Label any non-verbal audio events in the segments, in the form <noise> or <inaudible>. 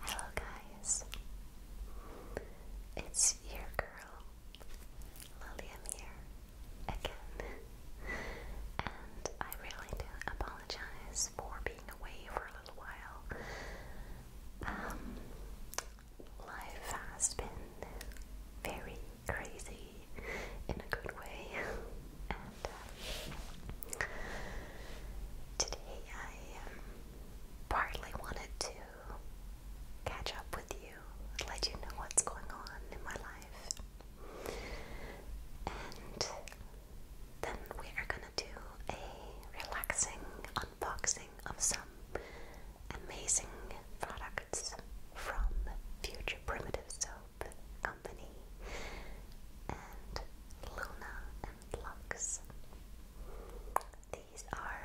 Hello, guys. It's your girl, Lilium here again, and I really do apologize for being away for a little while. Um, life has been very crazy in a good way, and um, today I um, partly wanted to catch up with you, let you know what's going on in my life, and then we are going do a relaxing unboxing of some amazing products from Future Primitive Soap Company and Luna and Lux. These are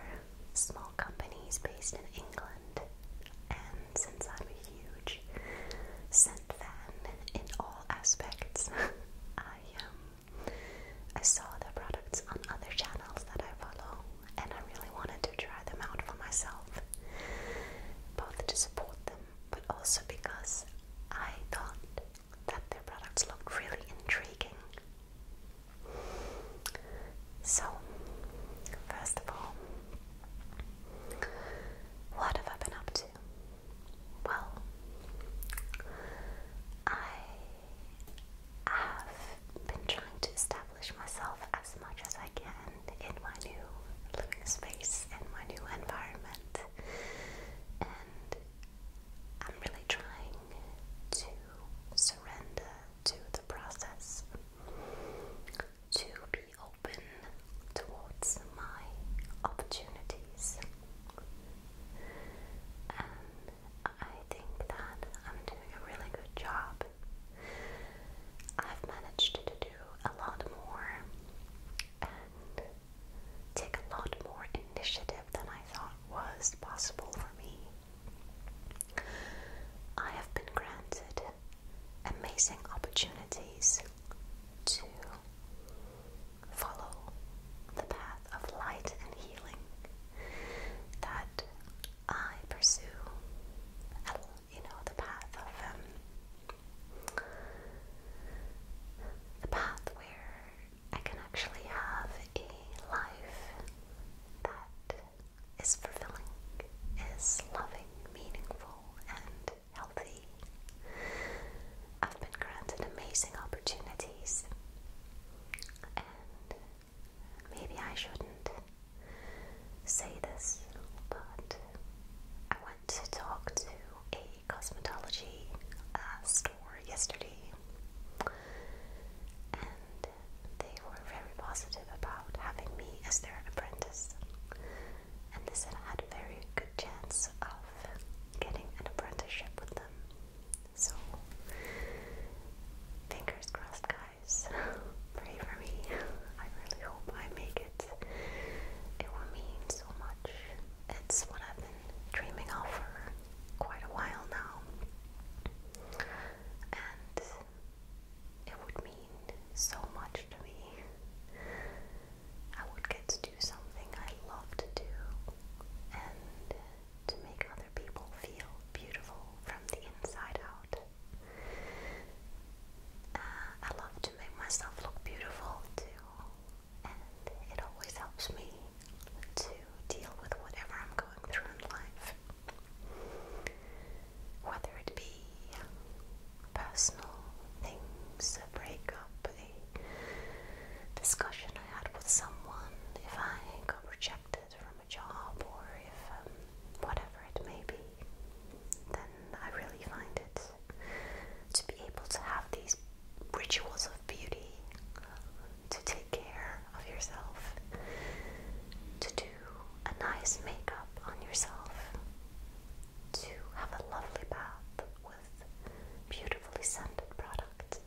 small companies based in England, and since I'm a huge scent fan in all aspects, <laughs> I am I saw the products on other channels that I follow, and I really wanted to try them out for myself, both to support them, but also because I thought that their products looked really intriguing. So, first of all, what have I been up to? Well, I I've been trying to establish myself as much as I can in my new living space and my new environment, and I'm really trying to surrender to the process, to be open towards my opportunities. I think that I'm doing a really good job. I've managed to do a lot more and take a lot more initiative than I thought was possible for me. I have been granted amazing opportunities to follow the path of light and healing that I pursue. You know, the path of um, the path where I can actually have a life that is fulfilling, is loving, meaningful, and healthy. I've been granted amazing opportunities maybe I shouldn't say this, but I went to talk to a cosmetology uh, store yesterday, and they were very positive about having me as their apprentice, and they said I had a very good chance of getting an apprenticeship with them. So, fingers crossed, guys. <laughs> Pray for me. I really hope I make it. It will mean so much. It's what I've been dreaming of for quite a while now. And it would mean so much to me. I would get to do something I love to do and to make other people feel beautiful from the inside out. Uh, I love to make myself look beautiful too, and it always helps me to deal with whatever I'm going through in life. Whether it be personal things, a breakup, a discussion had with someone, if I got rejected from a job or if um, whatever it may be, then I really find it to be able to have these rituals of beauty, to take care of yourself, to do a nice makeup on yourself, to have a lovely bath with beautifully scented products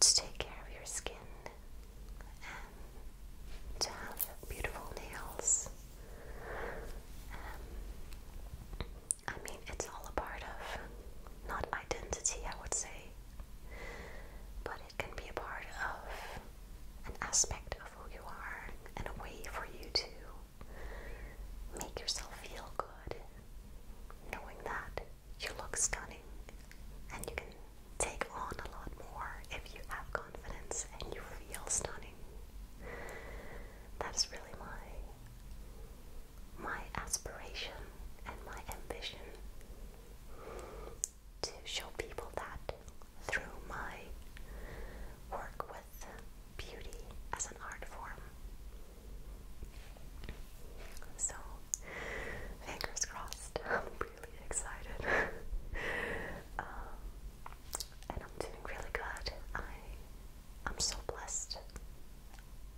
to take care of your skin and to have beautiful nails. Um, I mean, it's all a part of not identity, I would say, but it can be a part of an aspect of who you are and a way for you to make yourself feel good knowing that you look stunning and you can take on a lot more if you have confidence and you feel stunning. That is really my my aspiration and my ambition to show people that through my work with beauty as an art form so, fingers crossed. <laughs> I'm really excited. <laughs> Um, and I'm doing really good. I, am so blessed.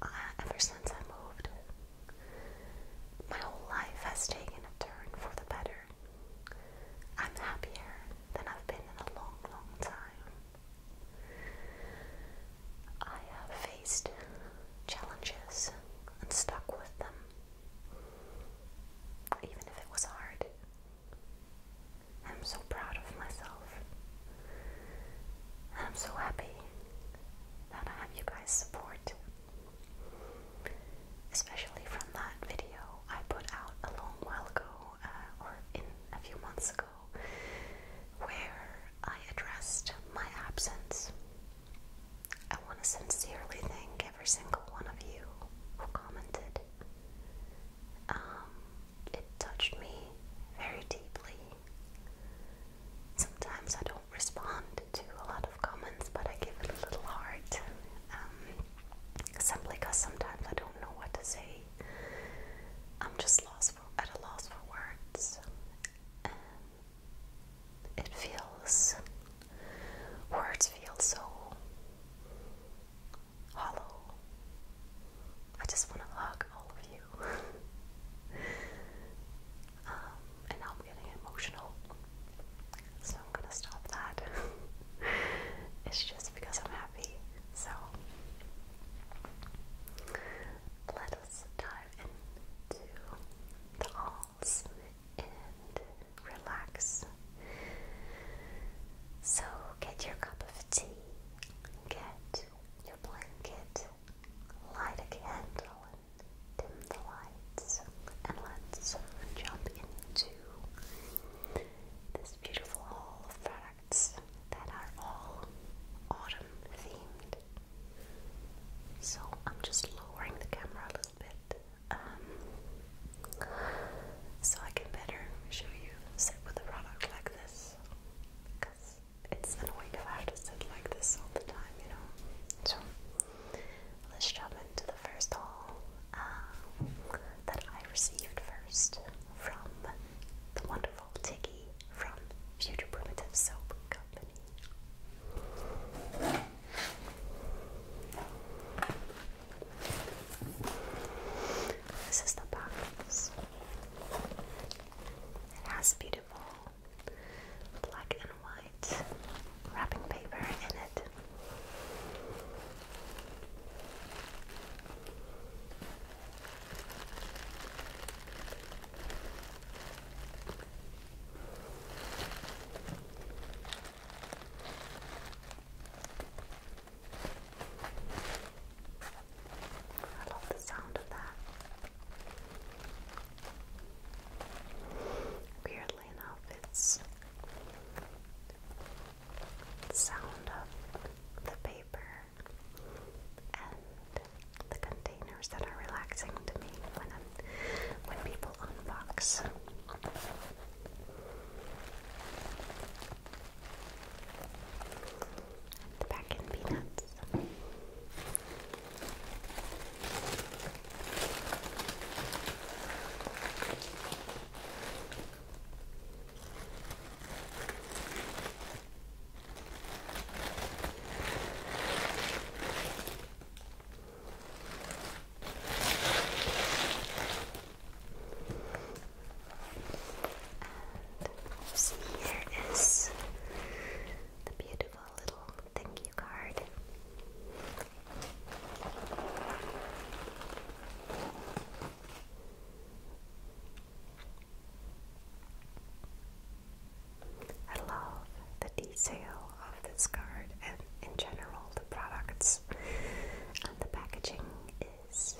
ever since I moved, my whole life has taken a turn for the better. I'm happier than I've been in a long, long time. I have faced challenges and stuck with them, even if it was hard. I'm so proud of myself. And I'm so happy that I have you guys' support. Especially from that video I put out a long while ago, uh, or in a few months ago where I addressed my absence. I want to sincerely thank every single one of you who commented. Um, it touched me very deeply. Sometimes I don't respond to a lot of comments, but I give it a little heart. Um, simply because sometimes I don't know what to say. I'm just lost for, at a loss for words it feels words feel so hollow. I just want to hug all of you. <laughs> Um, and now I'm getting emotional. So I'm gonna stop that. <laughs> it's just because I'm happy. So dive into the alls and relax. So, get your cup of tea, get your blanket, light a candle, and dim the lights, and let's jump into this beautiful hall of products that are all autumn themed. So I'm just lowering the camera a little bit um, so I can better show you sit with the product like this because it's annoying if I have to sit like this all the time, you know. So let's jump into the first haul um, that I received first from the wonderful Tiggy from Future Primitive Soap Company. This is the box. It has beautiful black and white wrapping paper in it. I love the sound of that. Weirdly enough, it's the sound of the paper and the containers that are relaxing to me when I'm, when people unbox. the back in peanuts here is the beautiful little thank you card. I love the detail of this card and in general the products and the packaging is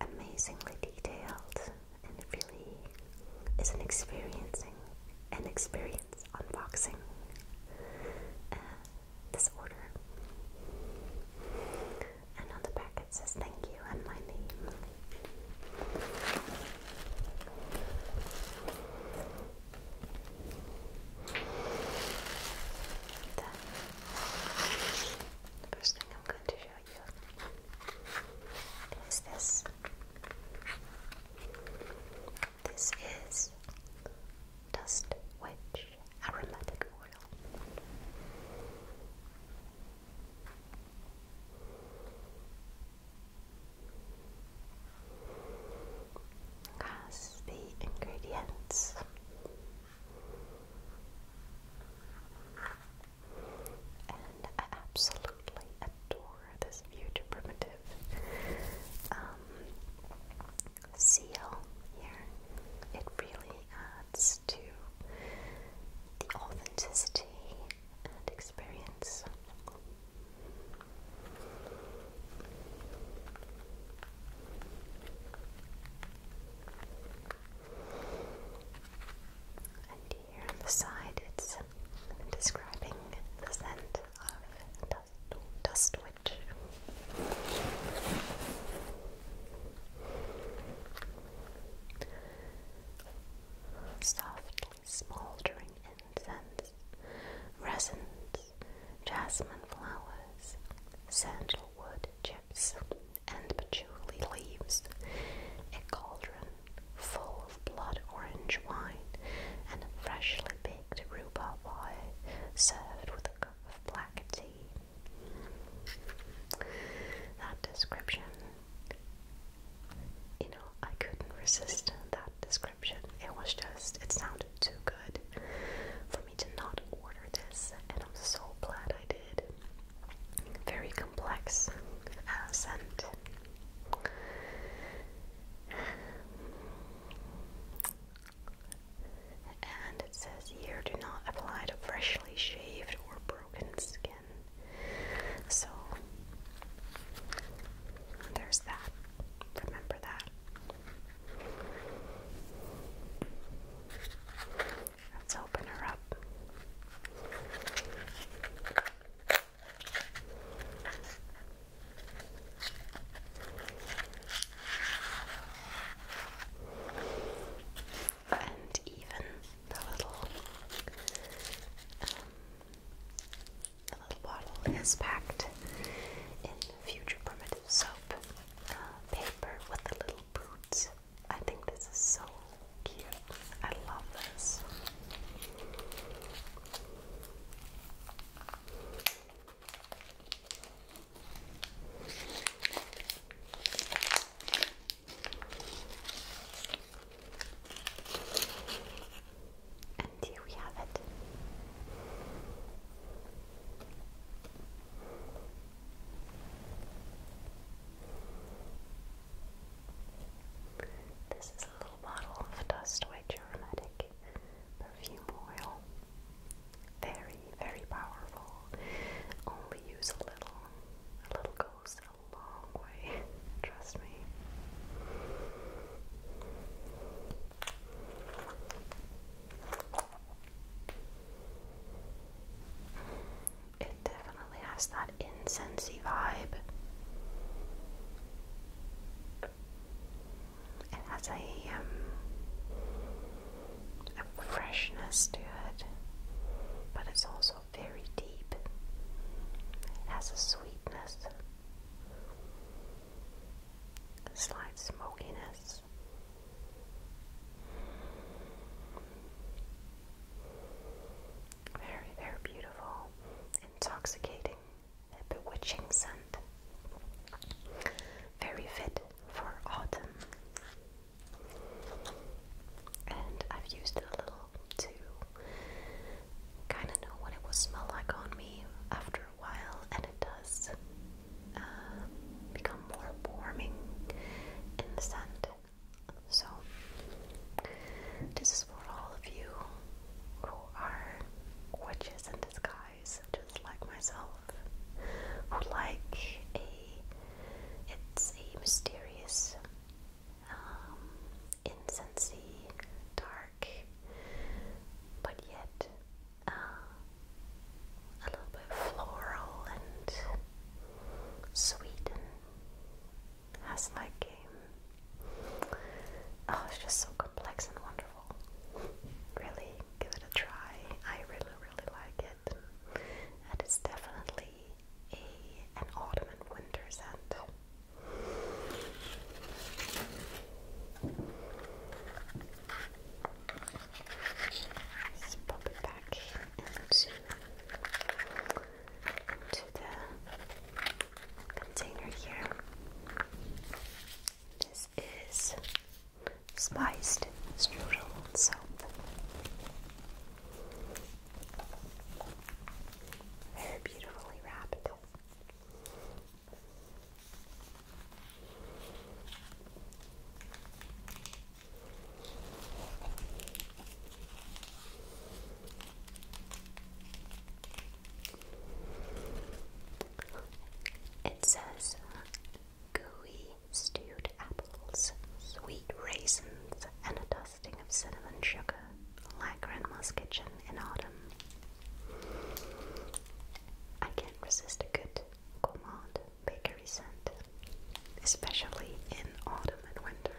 amazingly detailed and really is an experiencing an experience unboxing this order and on the back it says thank you and my name first thing I'm going to show you is this. This is Dust which Aromatic Oil has the ingredients. And I absolutely adore this huge primitive um, seal here. It really adds to the authenticity and experience. And here on the side, it's describing the scent of dust, dust witch. Soft smoldering incense, resins, jasmine flowers, sandalwood chips, and patchouli leaves, a cauldron full of blood orange wine, and freshly baked rhubarb pie served with a cup of black tea. That description you know, I couldn't resist that description. It was just, it sounded too good for me to not order this, and I'm so glad I did. Very complex uh, scent. And it says here do not apply to freshly shaved or broken skin. So there's that. Remember that. Let's open her up. And even the little um, the little bottle is packed in future primitive soap uh, paper with the little boots. I think this is so cute. I love this. And here we have it. This is a little bottle of dust white perfume oil. Very, very powerful. Only use a little. A little goes goes a long way, <laughs> trust me. It definitely has that incensey vibe. It has a um, freshness to it, but it's also very deep, has a sweetness, a slight smokiness. Very, very beautiful, intoxicating, bewitching scent. Very fit for autumn. And I've used a little to kind of know what it will smell like on me after a while, and it does uh, become more warming in the scent. So, this is for all of you who are witches in disguise, just like myself, who like a it's a mysterious um, incensey, dark, but yet uh, a little bit floral and sweet, and has like a oh, it's just so complex and wonderful. Really, give it a try. I really, really like it. And it's definitely a an autumn and winter scent let it back into, the container here. This is spiced strudel soap they beautifully wrapped. It says gooey stewed apples, sweet raisins, and a dozen frosting of cinnamon sugar, like Grandma's kitchen in autumn. I can't resist a good gourmand bakery scent, especially in autumn and winter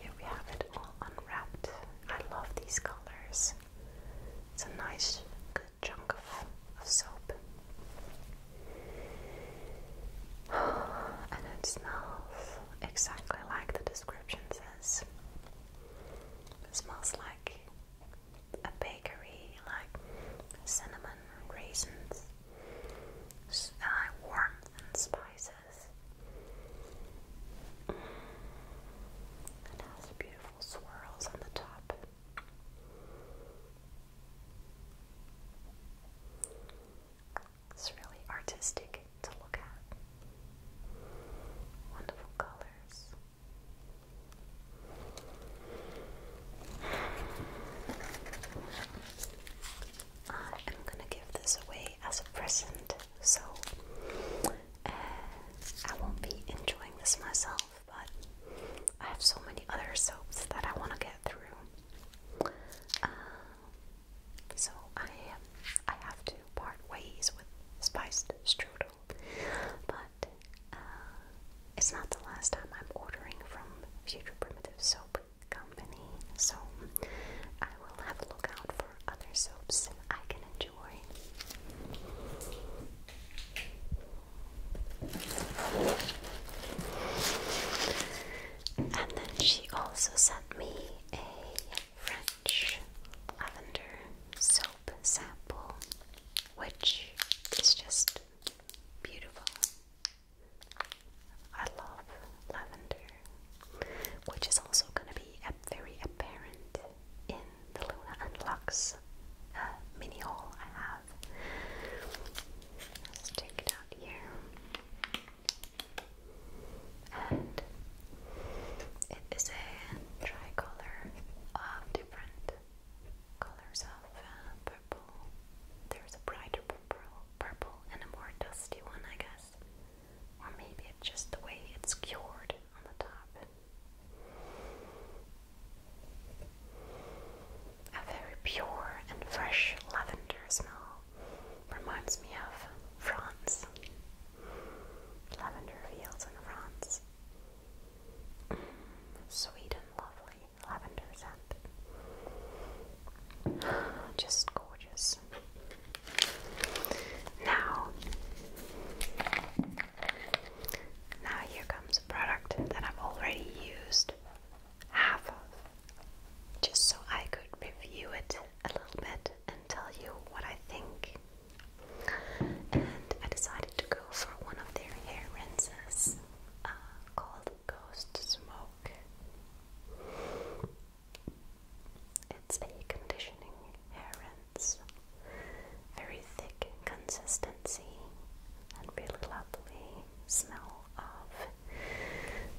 here we have it all unwrapped. I love these colors. It's a nice, good chunk of, soap. <sighs> and it smells exactly like the description says. smells like a bakery, like cinnamon, raisins, warmth and spices. It has beautiful swirls on the top. It's really artistic to look at. Wonderful colors. Uh, I am gonna give this away as a present, so uh, I won't be enjoying this myself, but I have so many other soaps that I want to get through. Uh, so I I have to part ways with spiced strudel, but it's not the last time I'm ordering from Future Primitive Soap company, so I will have a look out for other soaps I can enjoy. And then she also sent me a French lavender soap sample, which is just beautiful. I love lavender, which is also going to be very apparent in the Luna and Lux uh, mini haul I have. Let's take it out here. And it is a tricolor of different colors of uh, there's a brighter purple, purple and a more dusty one, I guess. Or maybe it's just the way it's cured on the top. A very pure and fresh lavender smell reminds me of France. Lavender fields in France. Mm, sweet and lovely lavender scent. <gasps> Just gorgeous. Now, now here comes a product that I've already used half of, just so I could review it a little bit and tell you what I think. And I decided to go for one of their hair rinses uh, called Ghost Smoke. It's a conditioning hair rinse. Very thick consistency and really lovely smell of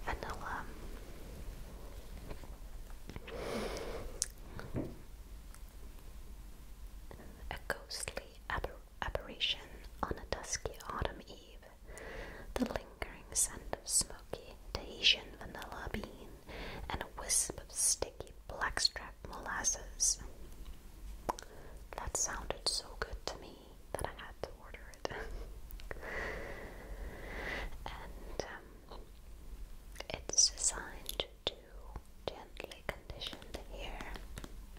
vanilla. A ghostly aber on a dusky autumn eve the lingering scent of smoky Tahitian vanilla bean, and a wisp of sticky blackstrap molasses. That sounded so good to me that I had to order it. <laughs> and um, it's designed to gently condition the hair,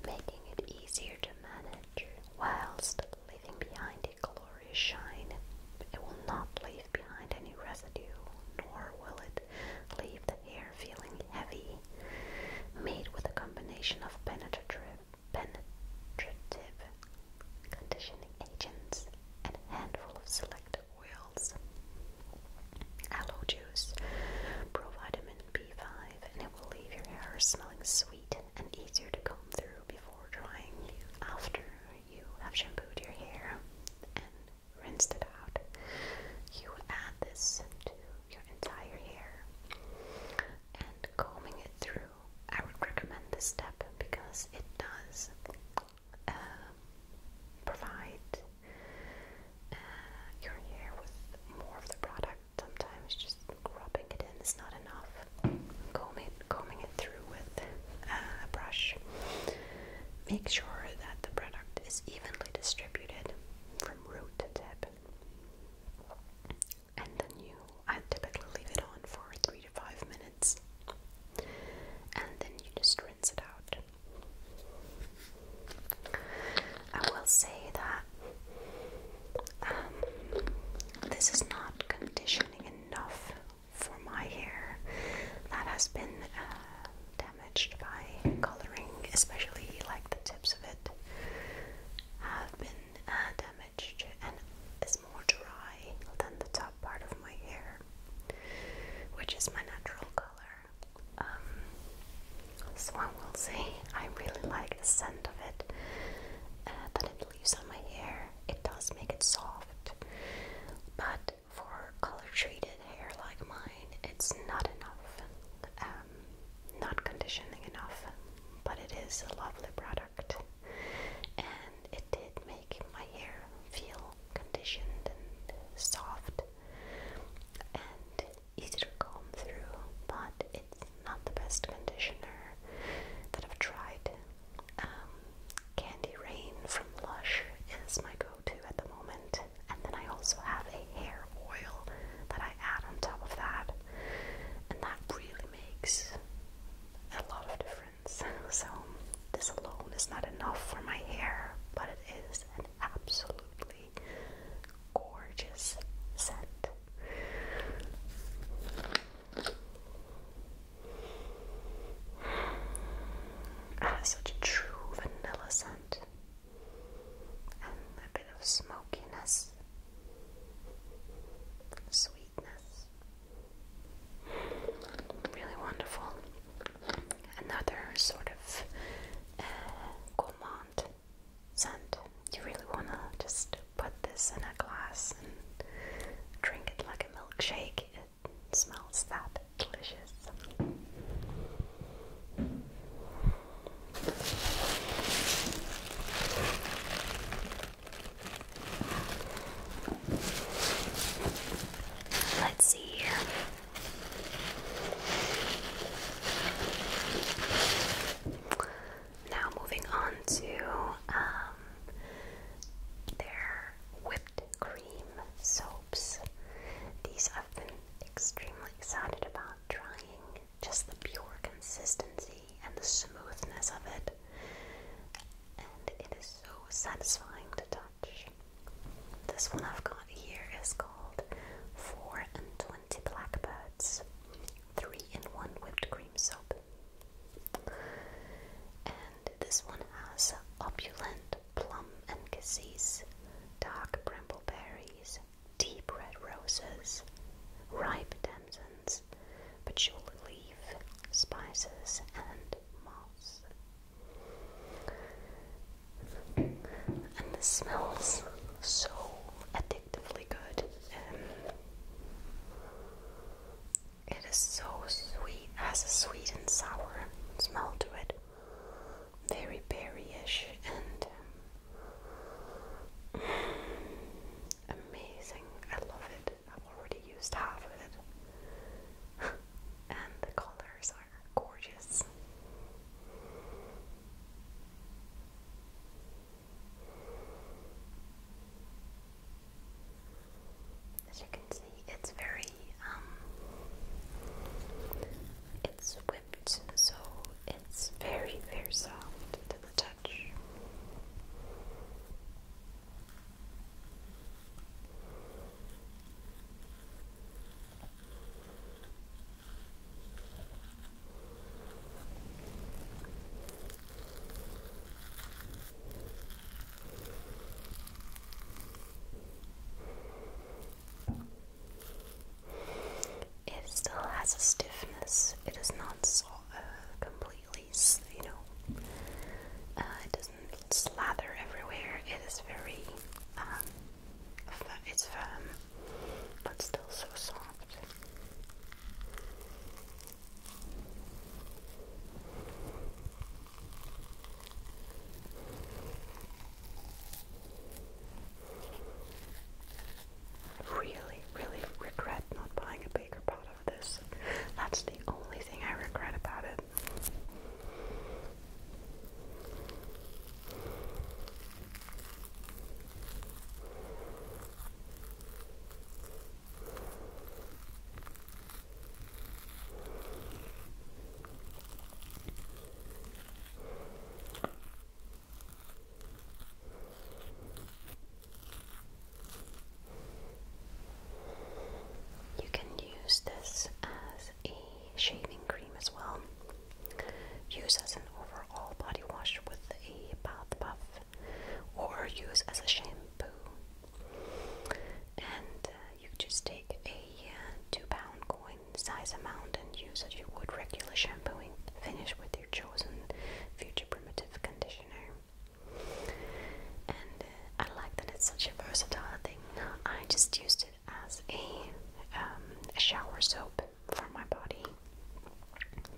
making it easier to manage whilst leaving behind a glorious shine. It will not leave behind any residue, nor will it leave the hair feeling heavy. Made with a combination of penetrative, conditioning agents and a handful of select oils. Aloe juice, provitamin B5, and it will leave your hair smelling sweet and easier to comb through before drying after you have shampooed your hair and rinsed it out. You add this to your entire hair and combing it through. I would recommend this step because it does uh, provide uh, your hair with more of the product sometimes just rubbing it in is not enough. Combing, combing it through with uh, a brush. Make sure that the product is evenly distributed from root to tip. And then you, I typically leave it on for three to five minutes. And then you just rinse it out. I will say that um, this is not conditioning enough for my hair that has been uh, damaged by coloring, especially like the tips of it have been uh, damaged and is more dry than the top part of my hair, which is my natural color. Um, so I will say I really like the scent of it, uh, that it it leaves on my hair, it does make it soft. But for color treated hair like mine, it's not enough. Um, not conditioning enough, but it is a lovely product. And it did make my hair feel conditioned and soft and easy to comb through, but it's not the best conditioner that I've tried. Um, Candy Rain from Lush is my go-to at the moment, and then I also have a hair oil that I add on top of that, and that really makes a lot of difference. <laughs> So this alone is not enough for my hair, but it is an absolutely gorgeous scent has <sighs> ah, such a true vanilla scent and a bit of smokiness, sweetness. Really wonderful. Another sort of uh, gourmand scent you really want to just put this in a glass and drink it like a milkshake. It smells that delicious. Let's see here. Now moving on to um, their whipped cream soaps. These I've been extremely excited about trying. Just the pure consistency and the smoothness of it. And it is so satisfying to touch. This one I've got here is called 4 and 20 Blackbirds 3 in 1 Whipped Cream soap. And this one has opulent plum and cassis, dark bramble berries, deep red roses, ripe damsons, patchouli leaf, spices, and moss. And this smells so addictively good. Um, it is so sweet, has a sweet and sour smell to it. Very berryish and um, amazing. I love it. I've already used half of it. <laughs> and the colors are gorgeous. As you can see, it's very um it's whipped, so it's very, very soft to the touch. It still has a stiffness. It is not uh, completely, you know, uh, it doesn't slather everywhere. It is very, um, it's firm, but still so soft. Really, really regret not buying a bigger pot of this. That's the only thing I regret about it. You can use this as a shaving cream as well. Use as an overall body wash with a bath buff or use as a shampoo. And uh, you just take a uh, two pound coin size amount and use as you would regular shampooing. Finish with your chosen future primitive conditioner. And uh, I like that it's such a versatile thing. I just used it as um, a shower soap for my body,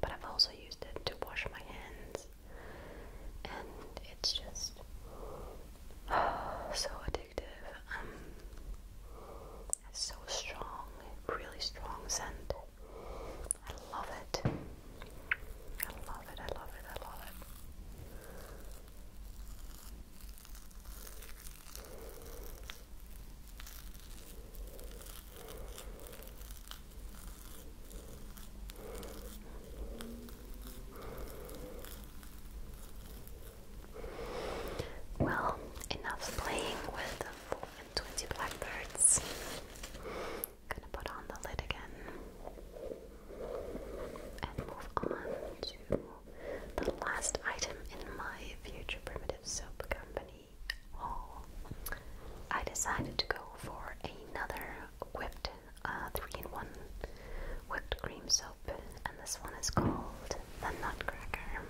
but I've also used it to wash my hands and it's just <sighs> so addictive. Um, so strong, really strong scent. I love it. I love it. I love it. I love it. Well, enough playing with the 4 and 20 blackbirds. Gonna put on the lid again and move on to the last item in my future primitive soap company haul. I decided to go for another whipped uh, three in one whipped cream soap, and this one is called the Nutcracker.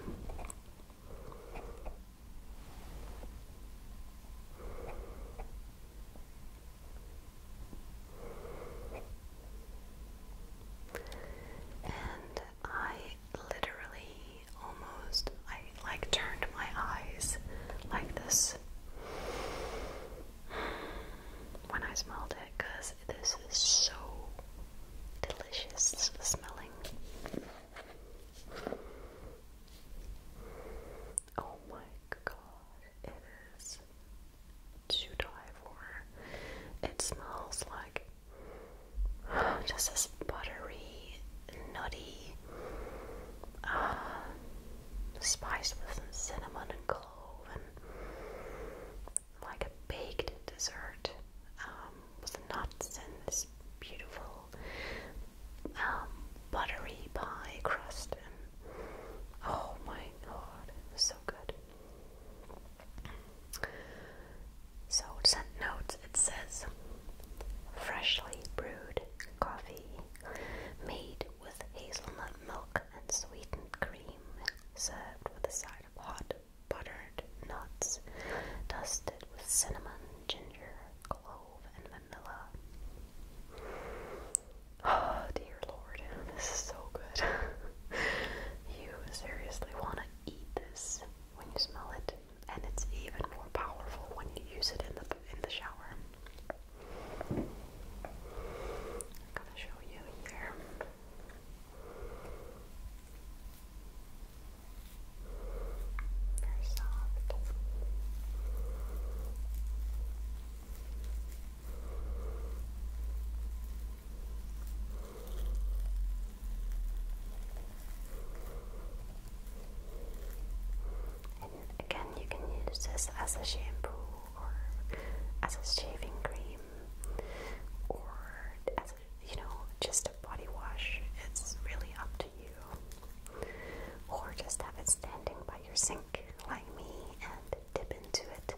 And I literally almost I like turned my eyes like this when I smelled it because this is so delicious smelling. Oh my god, it is to die for. It smells like just this buttery nutty, uh, spiced with some cinnamon and clove, and like a baked dessert um, with nuts and this beautiful um, buttery pie crust. And oh my god, so good. So, scent notes it says freshly brewed coffee made with hazelnut milk and sweetened cream, served with a side of hot buttered nuts, dusted with cinnamon, ginger, clove, and vanilla. <sighs> Oh dear lord, this is so good. <laughs> you seriously want to eat this when you smell it, and it's even more powerful when you use it in the in the shower. I'm gonna show you here. Very soft again, you can use this as a shampoo or as a shaving cream or as you know, just a body wash. It's really up to you. Or just have it standing by your sink like me and dip into it.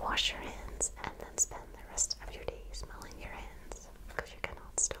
Wash your hands and then spend the rest of your day smelling your hands because you cannot stop.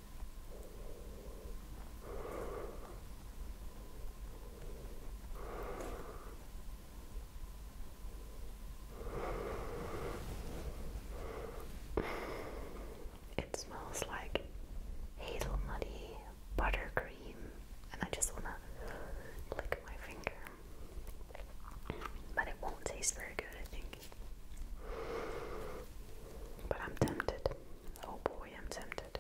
It smells like hazelnutty buttercream, and I just want to lick my finger, but it won't taste very good, I think. But I'm tempted. Oh boy, I'm tempted.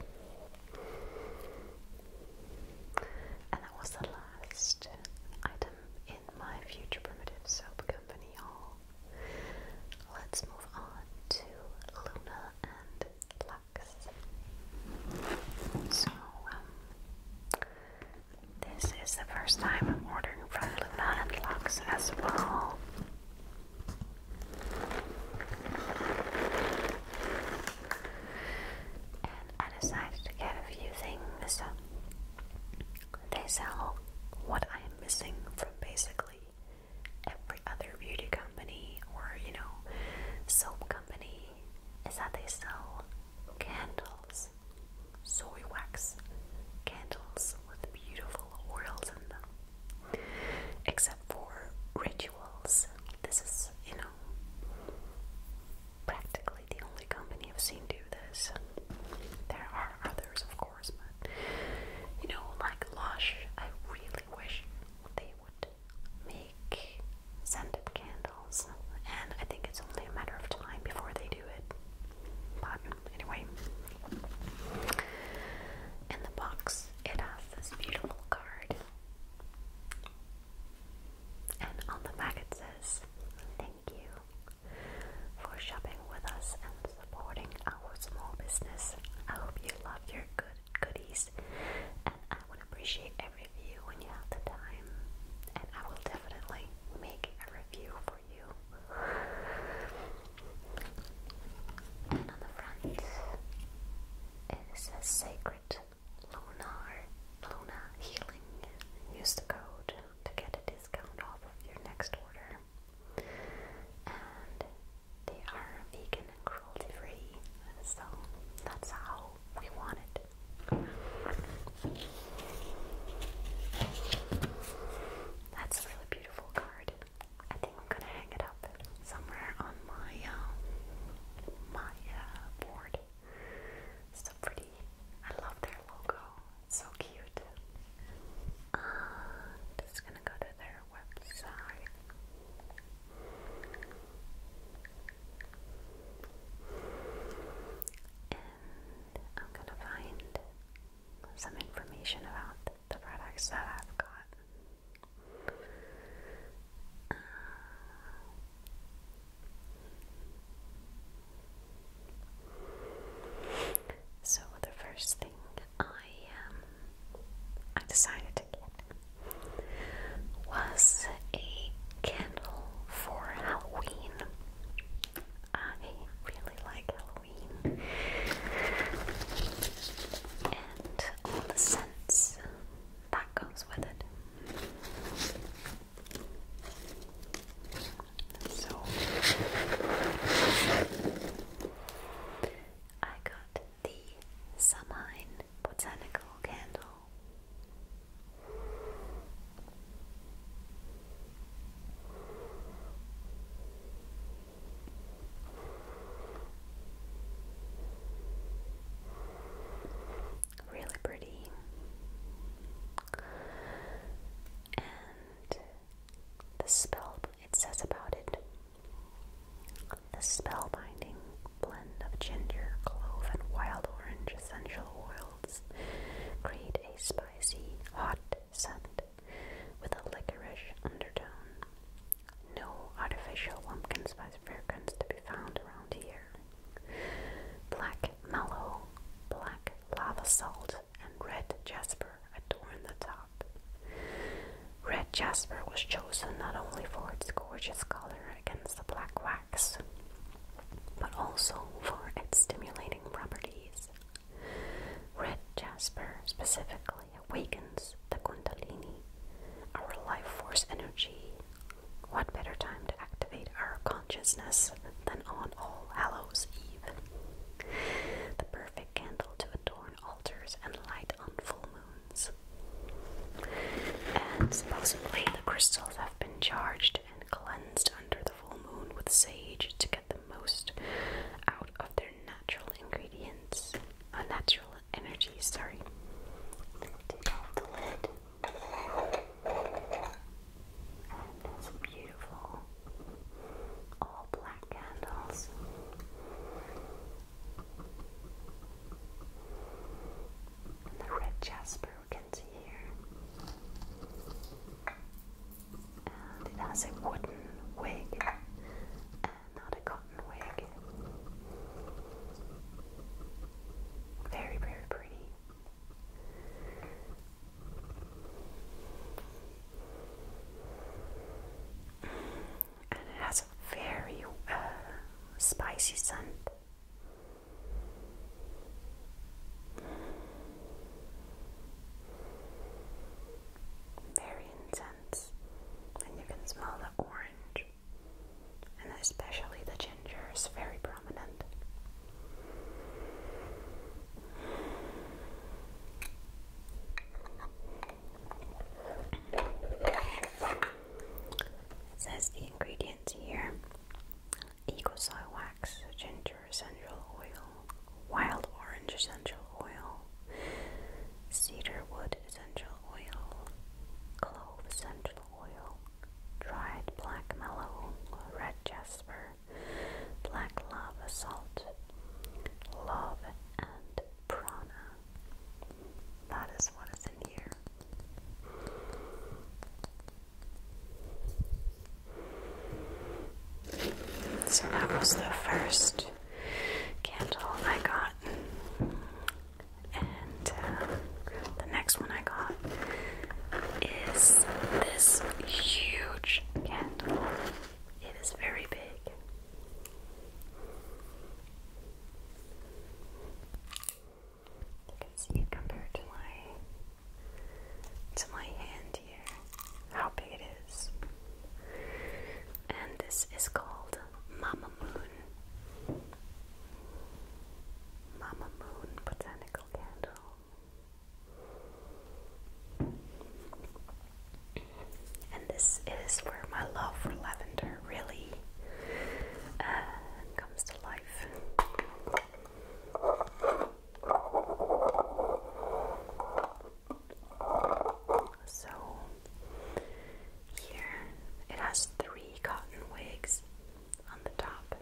And that was the last item in my future primitive soap company haul. Let's move on to Luna and Lux. So, um, this is the first time I'm ordering from Luna and Lux as well. And I decided to get a few things. They sell what I am missing from basically every other beauty company or, you know, soap company is that they sell candles, soy wax candles with beautiful oils in them except for rituals. This is, you know, practically the only company I've seen do this. There are others, of course, but you know, like Lush, I really wish they would make scented candles, and I think it's only a matter of time before they do it. But anyway, in the box it has this beautiful card. And on the back it says, Thank you for shopping with us and supporting our small business. I hope you love your good goodies and I would appreciate a review when you have the time. And I will definitely make a review for you. And on the front, it says Sacred Lunar Luna Healing. Use the code to get a discount off of your next order. And they are vegan and cruelty free, so that's how we want it. That's a really beautiful card. I think I'm gonna hang it up somewhere on my um, my uh, board. It's so pretty. I love their logo. so cute. Uh, just gonna go to their website. And I'm gonna find some information about the products that I've got. Uh, so the first thing I um, I decided to get was a candle for Halloween. I really like Halloween all the scents that goes with it. So I got the Samine Botanical Candle. Really pretty. And the spell it says about it. The spellbinding blend of ginger, clove, and wild orange essential oils create a spicy, hot scent with a licorice undertone. No artificial pumpkin spice fragrance to be found around here. Black mallow, black lava salt, and red jasper adorn the top. Red jasper was chosen not only for its gorgeous color against the black wax, but also for its stimulating properties. Red jasper specifically awakens the Kundalini, our life force energy. What better time to activate our consciousness than on All Hallows Eve? The perfect candle to adorn altars and light on full moons. And supposedly, the crystals have been charged and cleansed under the full moon with sage to get the most out of their natural ingredients. A natural energy, sorry. beautiful all black candles. the red jasper we can see here. And it has a wooden wig and not a cotton wig. Very, very pretty. And it has a very uh, spicy scent. Very intense and you can smell the orange, and especially the ginger is very prominent. says the ingredients here Eagle wax, ginger essential oil, wild orange essential oil, cedar wood essential oil, clove essential oil, dried black mallow, red jasper, black lava salt, love, and prana. That is what is in here. So that was the first candle I got. And uh, the next one I got is this huge candle. It is very big. You can see it compared to my to my hand here, how big it is. And this is called Mama Moon. Mama Moon botanical candle. And this is where my love for lavender really uh, comes to life. So here it has three cotton wigs on the top.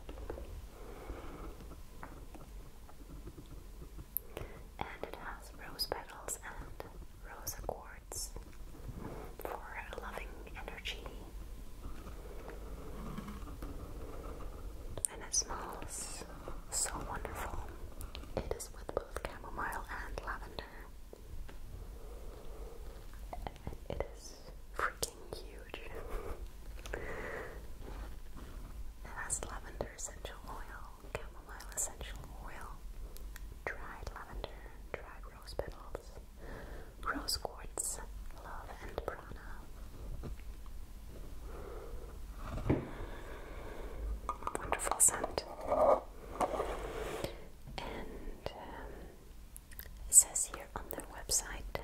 And it has rose petals and rose quartz for loving energy. And it smells so wonderful. It is with both chamomile and lavender it is freaking huge. it has lavender essential oil, chamomile essential oil, dried lavender, dried rose petals, rose quartz, love and prana. Wonderful scent and um, it says here on their website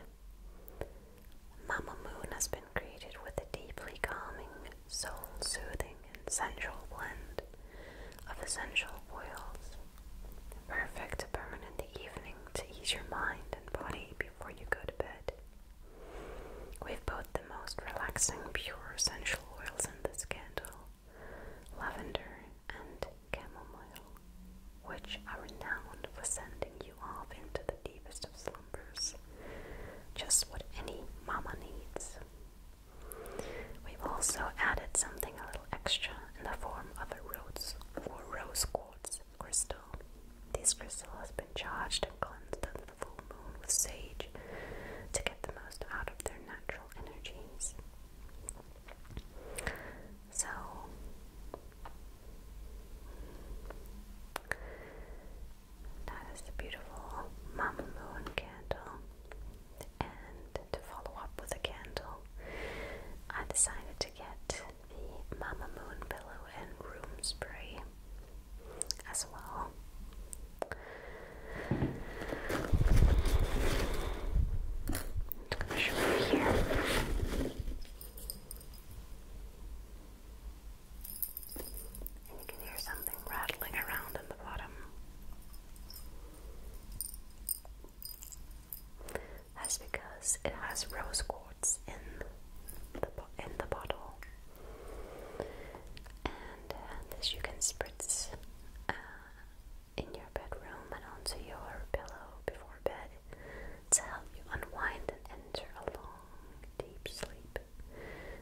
Mama Moon has been created with a deeply calming, soul soothing, sensual blend of essential oils. Perfect to burn in the evening to ease your mind and body before you go to bed. we both the most relaxing, pure essential oils in this candle, lavender, and chamomile, which are renowned for sending you off into the deepest of slumbers. Just what any mama needs. We've also added something a little extra in the form of a rose rose quartz crystal. This crystal has been charged and cleansed under the full moon with sage to get the most out of their natural so, that is the beautiful Mama Moon candle. And to follow up with a candle, I decided to get the Mama Moon pillow and room spray as well. Just gonna show you here. you can hear something rattling around in the bottom. That's because it has rose quartz in the in the bottle, and uh, you can spritz uh, in your bedroom and onto your pillow before bed to help you unwind and enter a long, deep sleep.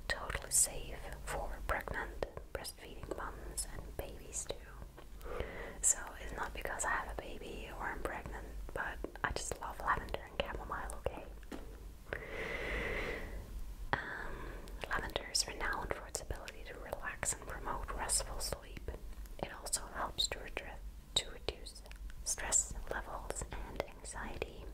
Totally safe for pregnant, breastfeeding moms and babies too. So it's not because I have a baby or I'm pregnant, but I just love lavender and chamomile, okay? Um, lavender is renowned for its ability to relax and promote restful sleep. It also helps to, to reduce stress levels and anxiety.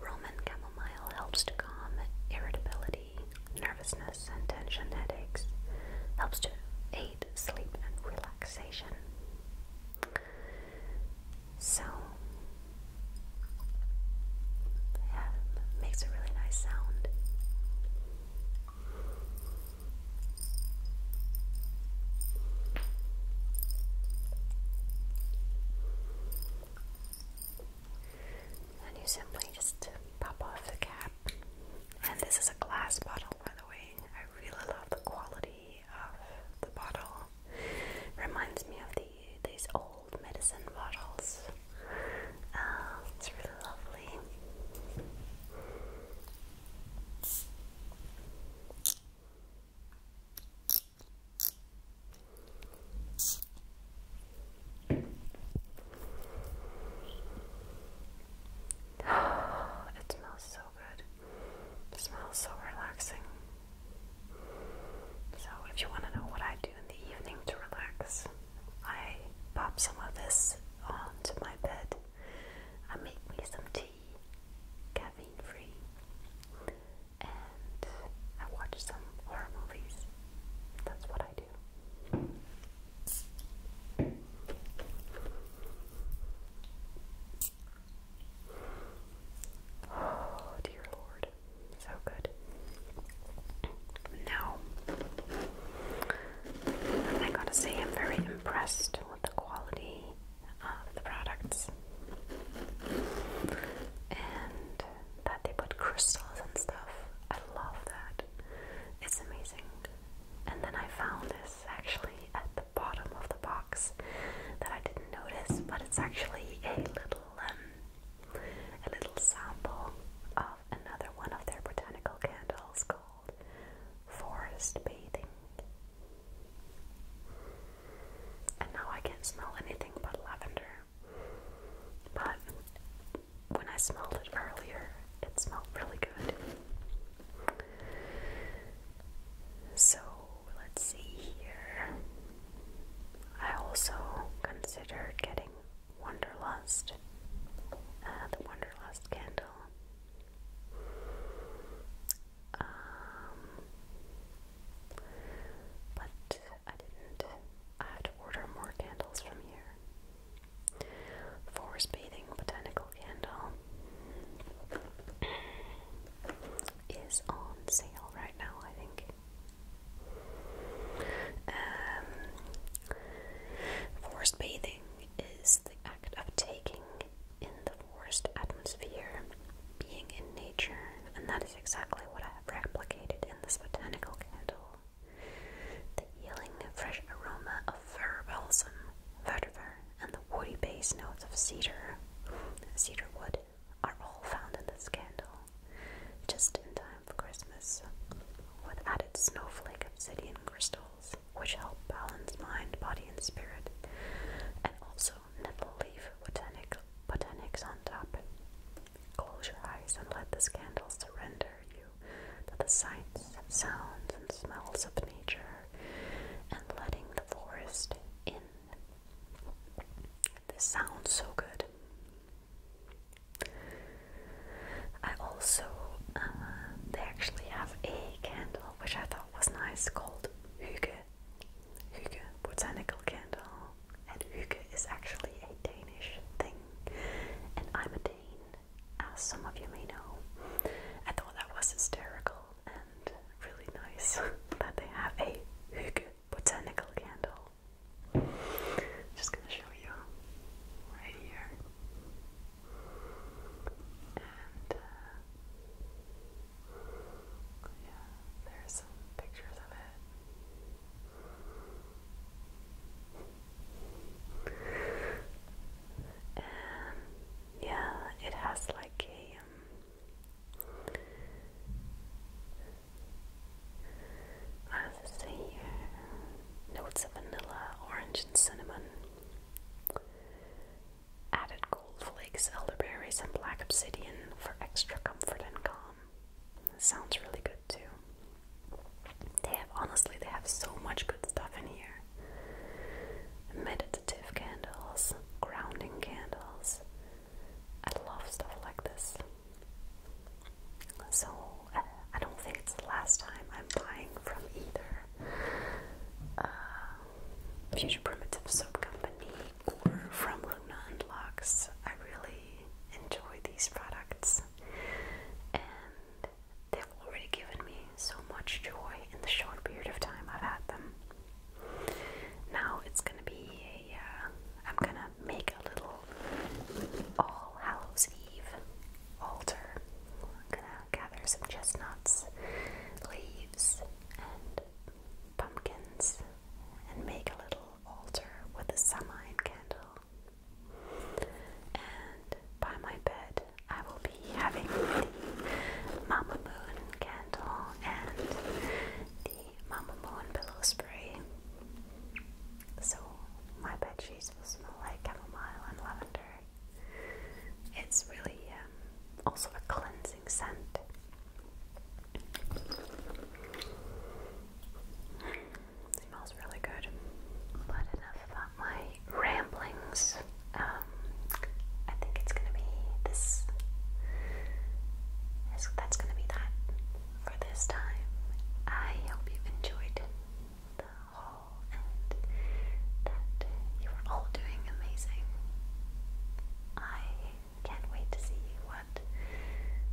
Roman chamomile helps to calm irritability, nervousness, and tension headaches, helps to aid sleep and relaxation. So, yeah, makes a really nice sound. And you simply just pop off the cap. And this is a glass bottle, by the way. I really love the quality of the bottle. Reminds me of the these old medicine bottles. Oh, it's really lovely. it smells so good. smells so relaxing. So, if you want to know what I in the evening to relax. I pop some of this onto my bed. I make me some tea, caffeine free, and I watch some horror movies. That's what I do. <sighs> Oh, dear Lord. So good. Now, I gotta say, I'm very impressed with the quality of the products and that they put crystals and stuff. I love that. It's amazing. And then I found this actually at the bottom of the box that I didn't notice, but it's actually a little um, a little sample of another one of their botanical candles called Forest Bathing. And now I can't smell anything but lavender. But when I smelled it earlier, it smelled really good. So let's see here. I also considered getting Wonderlust, uh, the Wonderlust candle. Um, but I didn't. I had to order more candles from here. Forest Bathing Botanical Candle is on sale right now, I think. Um, forest bathing is the act of taking in the forest atmosphere, being in nature, and that is exactly what I have replicated in this botanical candle. The healing, fresh aroma of fir balsam, vetiver, and the woody base notes of cedar, cedar wood, are all found in this candle, just in time for Christmas, with added snowflake obsidian crystals, which help balance mind, body, and spirit, and also nettle leaf with botanic, botanics on top. Close your eyes and let this candle surrender you to the sights, sounds, and smells of nature, and letting the forest in. This sounds so good. I also, uh, they actually have a candle which I thought was nice called Hygge. Hygge botanical candle, and Hygge is actually a Danish thing, and I'm a Dane, as some of you may know. I thought that was hysterical and really nice <laughs> that they have a Hygge botanical candle. I'm just gonna show you right here. And uh, yeah, there's pictures of it. And yeah, it has like a um, I does it say Notes of vanilla, orange, and cinnamon. Added gold flakes, elderberries, and black obsidian for extra comfort and calm. sounds really good too. They have honestly, they have so much good stuff in here. Meditative candles, grounding candles. I love stuff like this. So uh, I don't think it's the last time I'm buying from either uh, Future Primitive Soap Company or from Luna and I really enjoy these products, and they've already given me so much joy in the short period of time I've had them. Now it's gonna be uh, I'm gonna make a little All Hallows Eve altar. I'm gonna gather some chestnuts, leaves, and pumpkins, and make a little altar with a samhain candle. And by my bed, I will be having the Mama Moon candle and the Mamamoo and Pillow Spray. So my bed sheets will smell like chamomile and lavender. It's really um, also a cleansing scent. smells really good. But enough about my ramblings. Um, I think it's gonna be this. That's gonna be that for this time. I hope you've enjoyed the haul and that you are all doing amazing. I can't wait to see what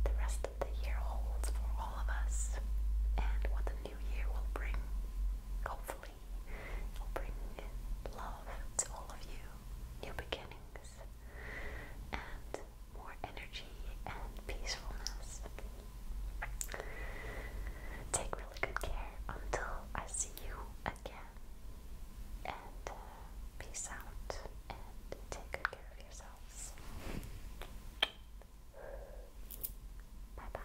the rest of the year holds for all of us and what the new year will bring. Hopefully, bring love to all of you, new beginnings, and more energy and peacefulness. Take really good care until I see you again. And uh, peace out and take good care of yourselves. Bye bye.